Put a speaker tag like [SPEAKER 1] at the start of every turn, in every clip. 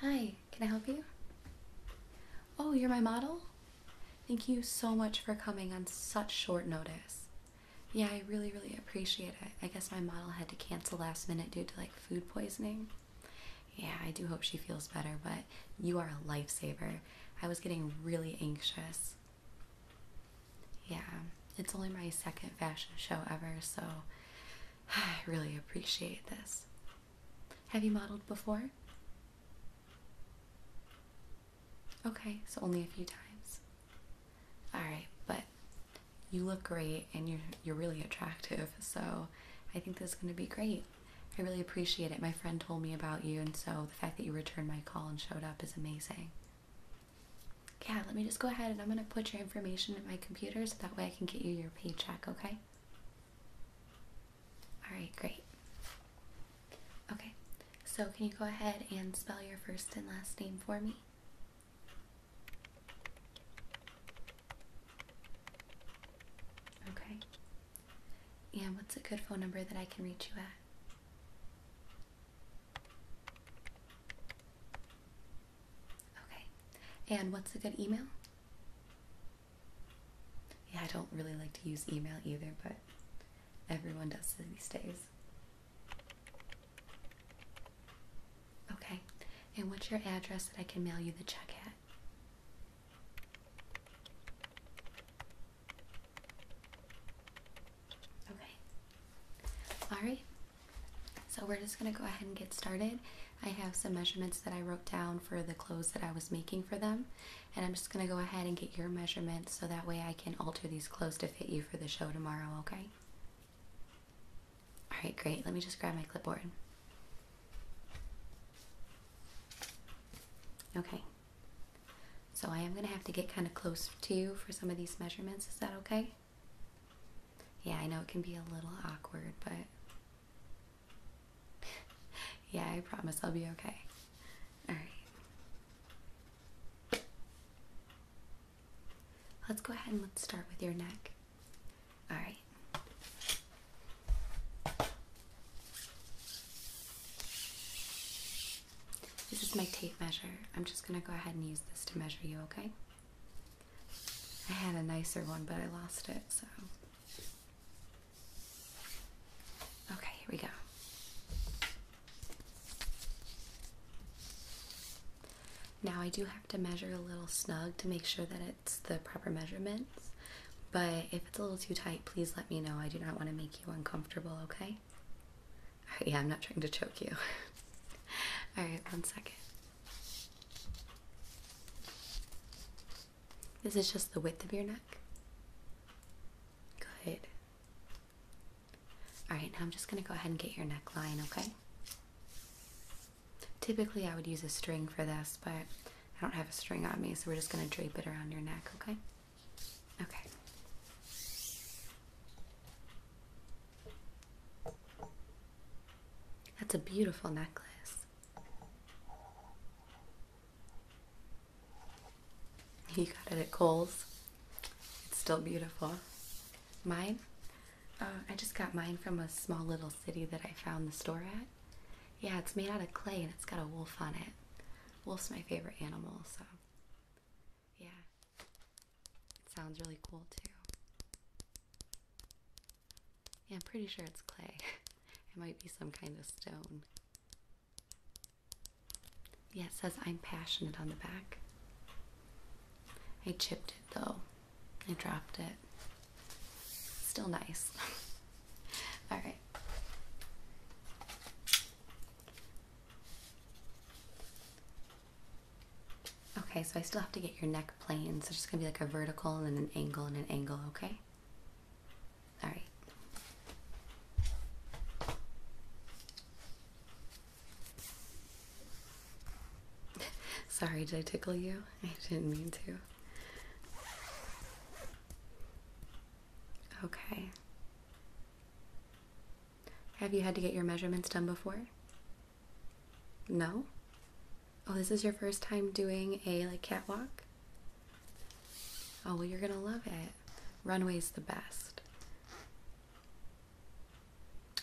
[SPEAKER 1] Hi, can I help you? Oh, you're my model? Thank you so much for coming on such short notice. Yeah, I really, really appreciate it. I guess my model had to cancel last minute due to like food poisoning yeah, I do hope she feels better, but you are a lifesaver. I was getting really anxious. Yeah, it's only my second fashion show ever, so I really appreciate this. Have you modeled before? Okay, so only a few times. Alright, but you look great and you're, you're really attractive, so I think this is going to be great. I really appreciate it. My friend told me about you, and so the fact that you returned my call and showed up is amazing. Yeah, let me just go ahead and I'm going to put your information in my computer so that way I can get you your paycheck, okay? Alright, great. Okay, so can you go ahead and spell your first and last name for me? Okay. Yeah. what's a good phone number that I can reach you at? Okay. And what's a good email? Yeah, I don't really like to use email either, but everyone does these days. Okay. And what's your address that I can mail you the check at? Okay. Alright. So we're just going to go ahead and get started. I have some measurements that I wrote down for the clothes that I was making for them. And I'm just going to go ahead and get your measurements so that way I can alter these clothes to fit you for the show tomorrow, okay? Alright, great. Let me just grab my clipboard. Okay. So I am going to have to get kind of close to you for some of these measurements. Is that okay? Yeah, I know it can be a little awkward, but yeah, I promise I'll be okay. All right. Let's go ahead and let's start with your neck. All right. This is my tape measure. I'm just going to go ahead and use this to measure you, okay? I had a nicer one, but I lost it, so. Okay, here we go. Now I do have to measure a little snug to make sure that it the proper measurements. But if it's a little too tight, please let me know. I do not want to make you uncomfortable, okay? yeah, I'm not trying to choke you. Alright, one second. This is just the width of your neck. Good. Alright, now I'm just going to go ahead and get your neckline, okay? Typically, I would use a string for this, but I don't have a string on me, so we're just going to drape it around your neck, okay? Okay. That's a beautiful necklace. He got it at Kohl's. It's still beautiful. Mine? Uh, I just got mine from a small little city that I found the store at. Yeah, it's made out of clay and it's got a wolf on it. Wolf's my favorite animal, so yeah. It sounds really cool too. Yeah, I'm pretty sure it's clay. it might be some kind of stone. Yeah, it says I'm passionate on the back. I chipped it though. I dropped it. Still nice. All right. Okay, so I still have to get your neck planes. So it's just gonna be like a vertical and an angle and an angle, okay? All right. Sorry, did I tickle you? I didn't mean to. Okay. Have you had to get your measurements done before? No? Oh, this is your first time doing a like catwalk? Oh, well, you're gonna love it. Runway's the best.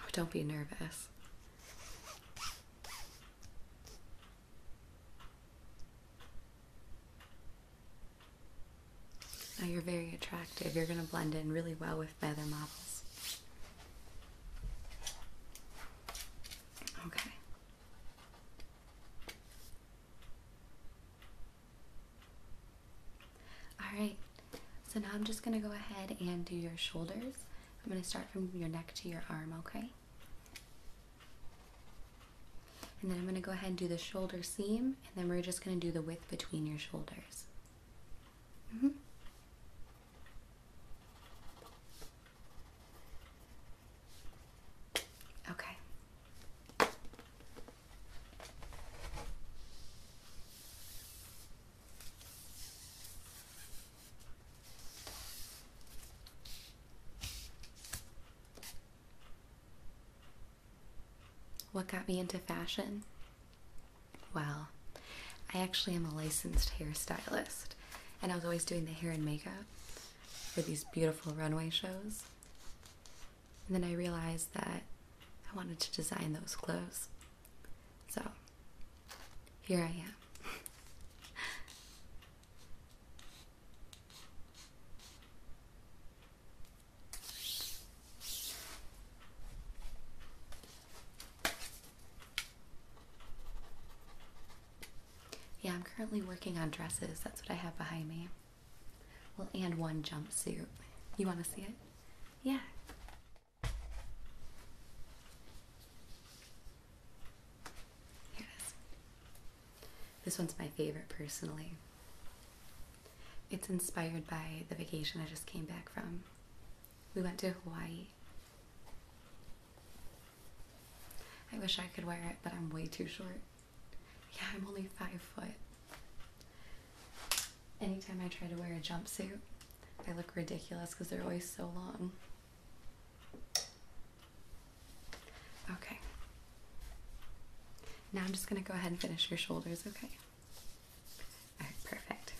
[SPEAKER 1] Oh, don't be nervous. Now you're very attractive. You're going to blend in really well with feather models. Okay. Alright, so now I'm just going to go ahead and do your shoulders. I'm going to start from your neck to your arm, okay? And then I'm going to go ahead and do the shoulder seam, and then we're just going to do the width between your shoulders. Mm-hmm. Okay. What got me into fashion? Well, I actually am a licensed hairstylist, and I was always doing the hair and makeup for these beautiful runway shows. And then I realized that I wanted to design those clothes. So here I am. Yeah, I'm currently working on dresses. That's what I have behind me. Well, and one jumpsuit. You want to see it? Yeah. Here This one's my favorite personally. It's inspired by the vacation I just came back from. We went to Hawaii. I wish I could wear it, but I'm way too short. Yeah, I'm only five foot. Anytime I try to wear a jumpsuit, I look ridiculous because they're always so long. Okay. Now I'm just going to go ahead and finish your shoulders, okay? perfect.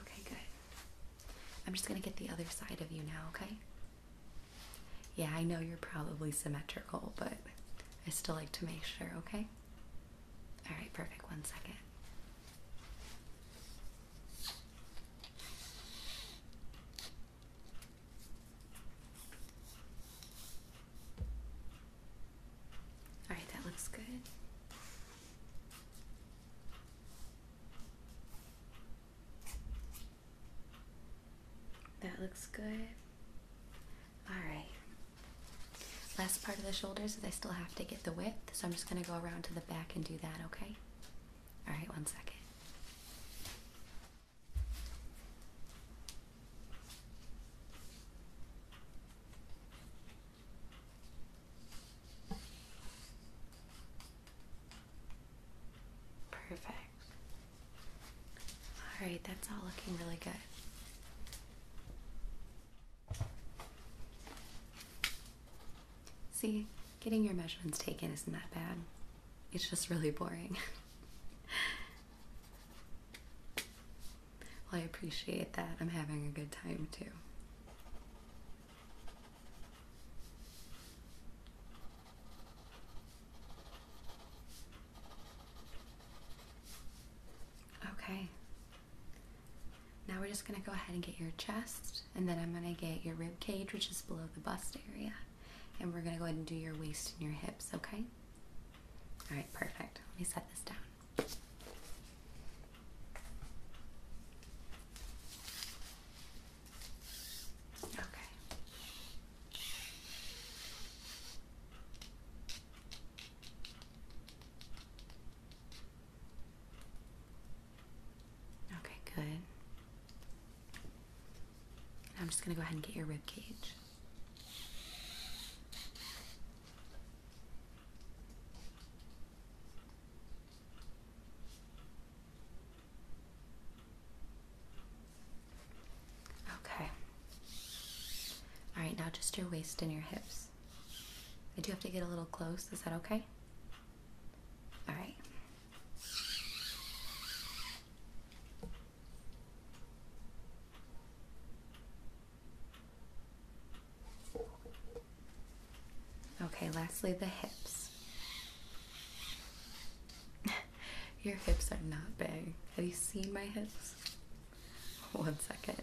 [SPEAKER 1] Okay, good. I'm just going to get the other side of you now, okay? Yeah, I know you're probably symmetrical, but I still like to make sure, okay? All right, perfect. One second. All right, that looks good. That looks good. All right. Last part of the shoulders is I still have to get the width, so I'm just going to go around to the back and do that, okay? All right, one second. Perfect. All right, that's all looking really good. See, getting your measurements taken isn't that bad. It's just really boring. I appreciate that. I'm having a good time too. Okay. Now we're just going to go ahead and get your chest, and then I'm going to get your rib cage, which is below the bust area, and we're going to go ahead and do your waist and your hips, okay? All right, perfect. Let me set this down. Okay. Okay, good. I'm just going to go ahead and get your rib cage. Okay. All right, now just your waist and your hips. I do have to get a little close. Is that okay? All right. Okay, lastly, the hips. Your hips are not big. Have you seen my hips? One second.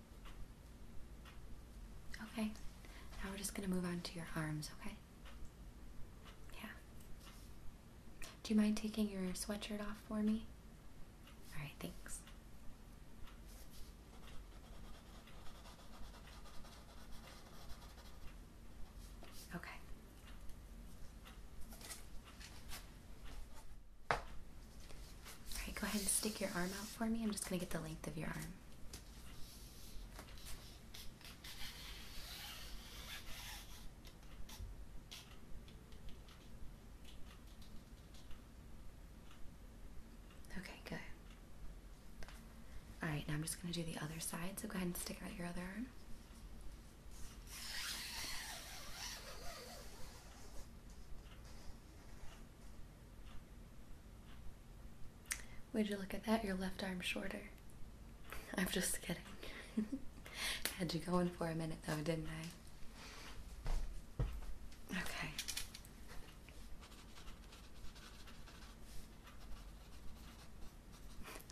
[SPEAKER 1] Okay, now we're just going to move on to your arms, okay? Yeah. Do you mind taking your sweatshirt off for me? Alright, thanks. Okay. Alright, go ahead and stick your arm out for me. I'm just going to get the length of your arm. Okay, good. Alright, now I'm just going to do the other side, so go ahead and stick out your other arm. Would you look at that? Your left arm shorter. I'm just kidding. Had you going for a minute though, didn't I? Okay.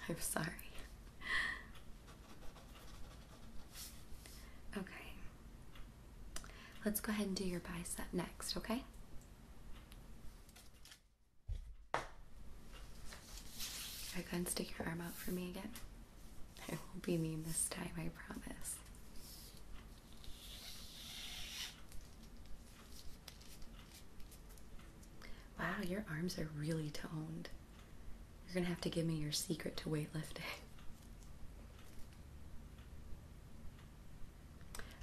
[SPEAKER 1] I'm sorry. Okay. Let's go ahead and do your bicep next, okay? I go and stick your arm out for me again. I won't be mean this time, I promise. Wow, your arms are really toned. You're gonna have to give me your secret to weightlifting.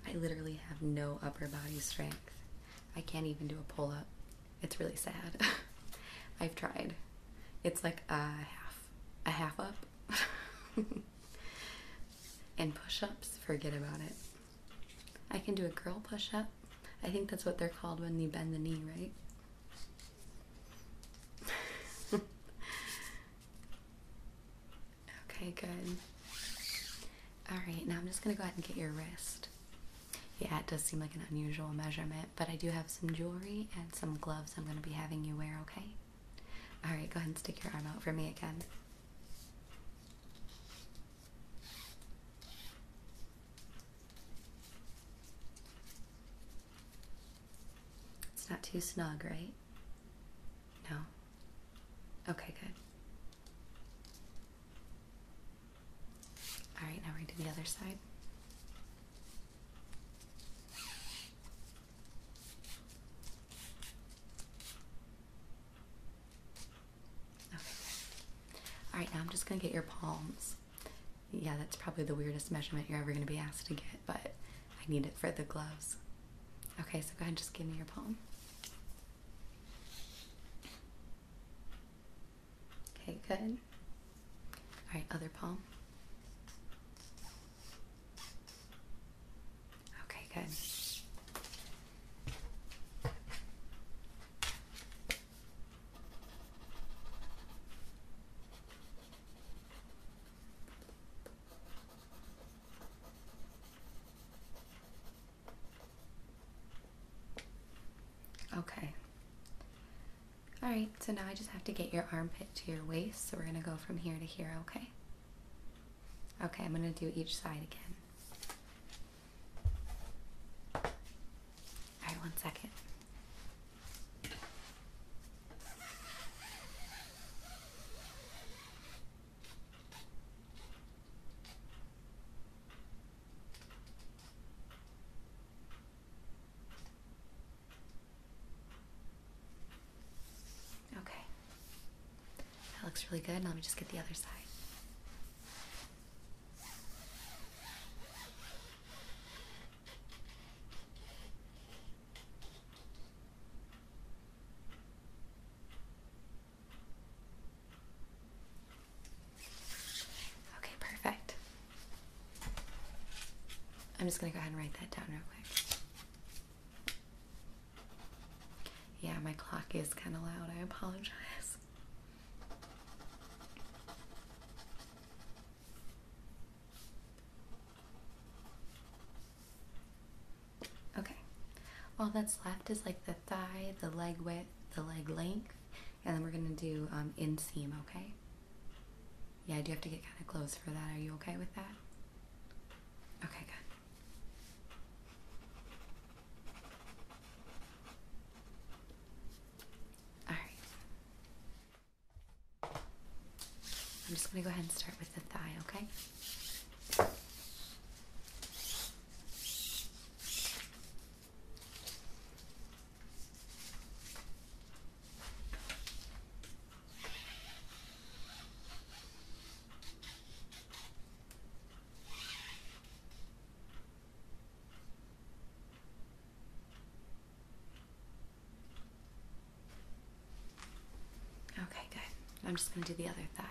[SPEAKER 1] I literally have no upper body strength. I can't even do a pull up. It's really sad. I've tried. It's like a half, a half up. and push ups, forget about it. I can do a girl push up. I think that's what they're called when you bend the knee, right? okay, good. Alright, now I'm just gonna go ahead and get your wrist. Yeah, it does seem like an unusual measurement, but I do have some jewelry and some gloves I'm gonna be having you wear, okay? Alright, go ahead and stick your arm out for me again. It's not too snug, right? No? Okay, good. All right, now we do the other side. Okay, All right, now I'm just going to get your palms yeah, that's probably the weirdest measurement you're ever going to be asked to get, but I need it for the gloves. Okay, so go ahead and just give me your palm. Okay, good. All right, other palm. Okay, good. Okay. Alright, so now I just have to get your armpit to your waist. So we're going to go from here to here, okay? Okay, I'm going to do each side again. All right, one second. Okay. That looks really good. Now let me just get the other side. Okay, perfect. I'm just going to go ahead and write that down real quick. Yeah, my clock is kind of loud. I apologize. Okay, all that's left is like the thigh, the leg width, the leg length, and then we're gonna do um, inseam, okay? Yeah, I do have to get kind of close for that. Are you okay with that? Okay, good. All right. I'm just going to go ahead and start with the thigh, okay? Okay, good. I'm just going to do the other thigh.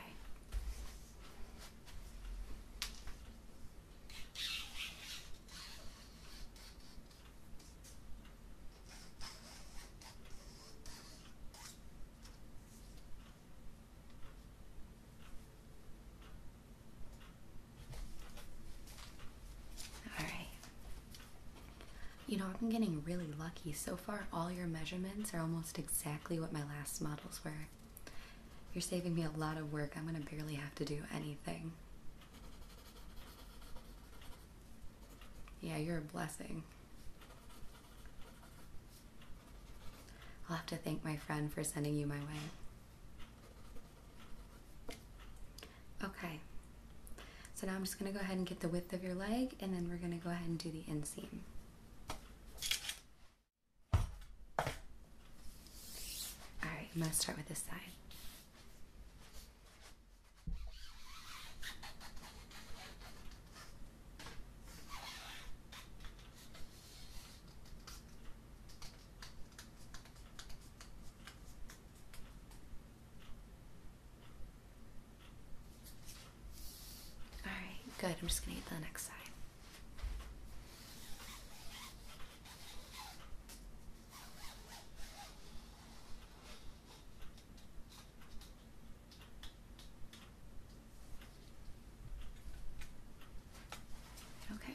[SPEAKER 1] Alright. You know, i have been getting really lucky. So far, all your measurements are almost exactly what my last models were. You're saving me a lot of work. I'm going to barely have to do anything. Yeah, you're a blessing. I'll have to thank my friend for sending you my way. Okay, so now I'm just going to go ahead and get the width of your leg and then we're going to go ahead and do the inseam. Alright, I'm going to start with this side. All right, good. I'm just going to get the next side. Okay.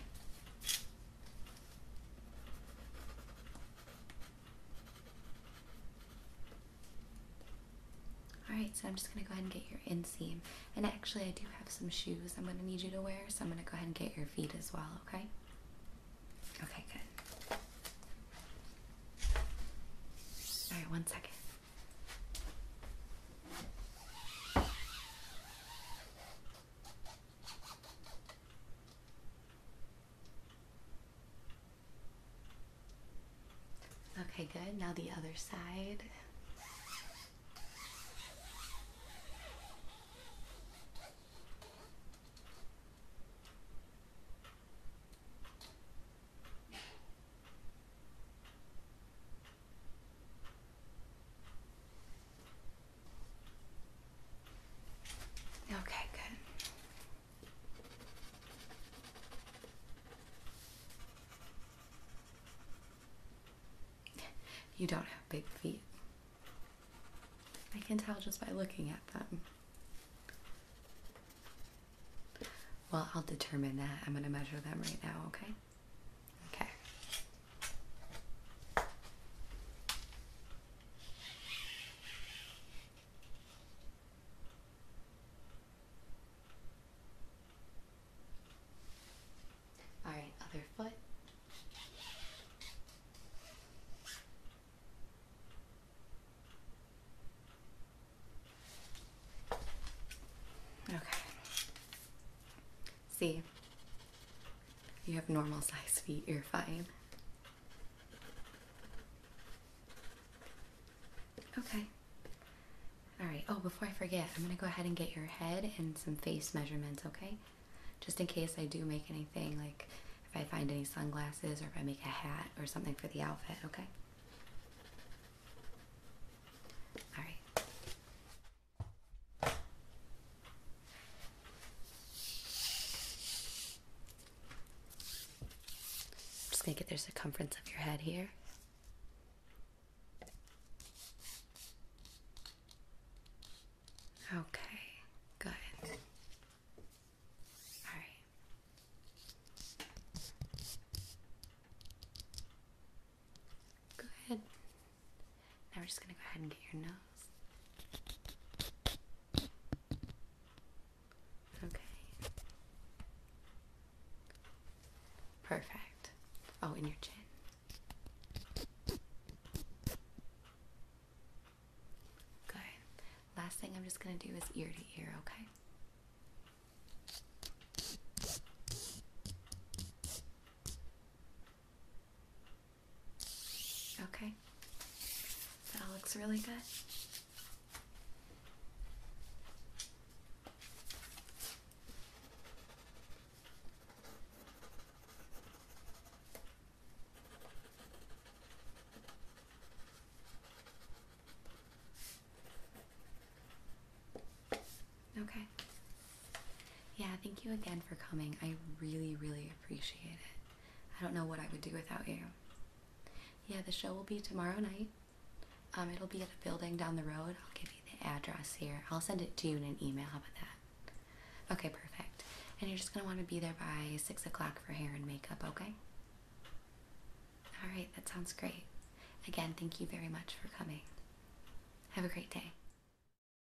[SPEAKER 1] Alright, so I'm just going to go ahead and get your inseam. And actually, I do have some shoes I'm going to need you to wear, so I'm going to go ahead and get your feet as well, okay? Okay, good. Alright, one second. Okay, good. Now the other side. Okay, good. You don't have big feet. I can tell just by looking at them. Well, I'll determine that. I'm going to measure them right now, okay? Okay. All right, other foot. Okay. See, you have normal size feet, you're fine. Okay. Alright, oh, before I forget, I'm gonna go ahead and get your head and some face measurements, okay? Just in case I do make anything, like if I find any sunglasses or if I make a hat or something for the outfit, okay? Alright. I'm just going to get the circumference of your head here. Okay, good. All right. Good. Now we're just going to go ahead and get your nose. Okay. Perfect. Oh, in your chin. Good. Last thing I'm just going to do is ear to ear, okay? Okay. That looks really good. Okay. Yeah, thank you again for coming. I really, really appreciate it. I don't know what I would do without you. Yeah, the show will be tomorrow night. Um, it'll be at a building down the road. I'll give you the address here. I'll send it to you in an email. How about that? Okay, perfect. And you're just gonna want to be there by six o'clock for hair and makeup. Okay. All right, that sounds great. Again, thank you very much for coming. Have a great day.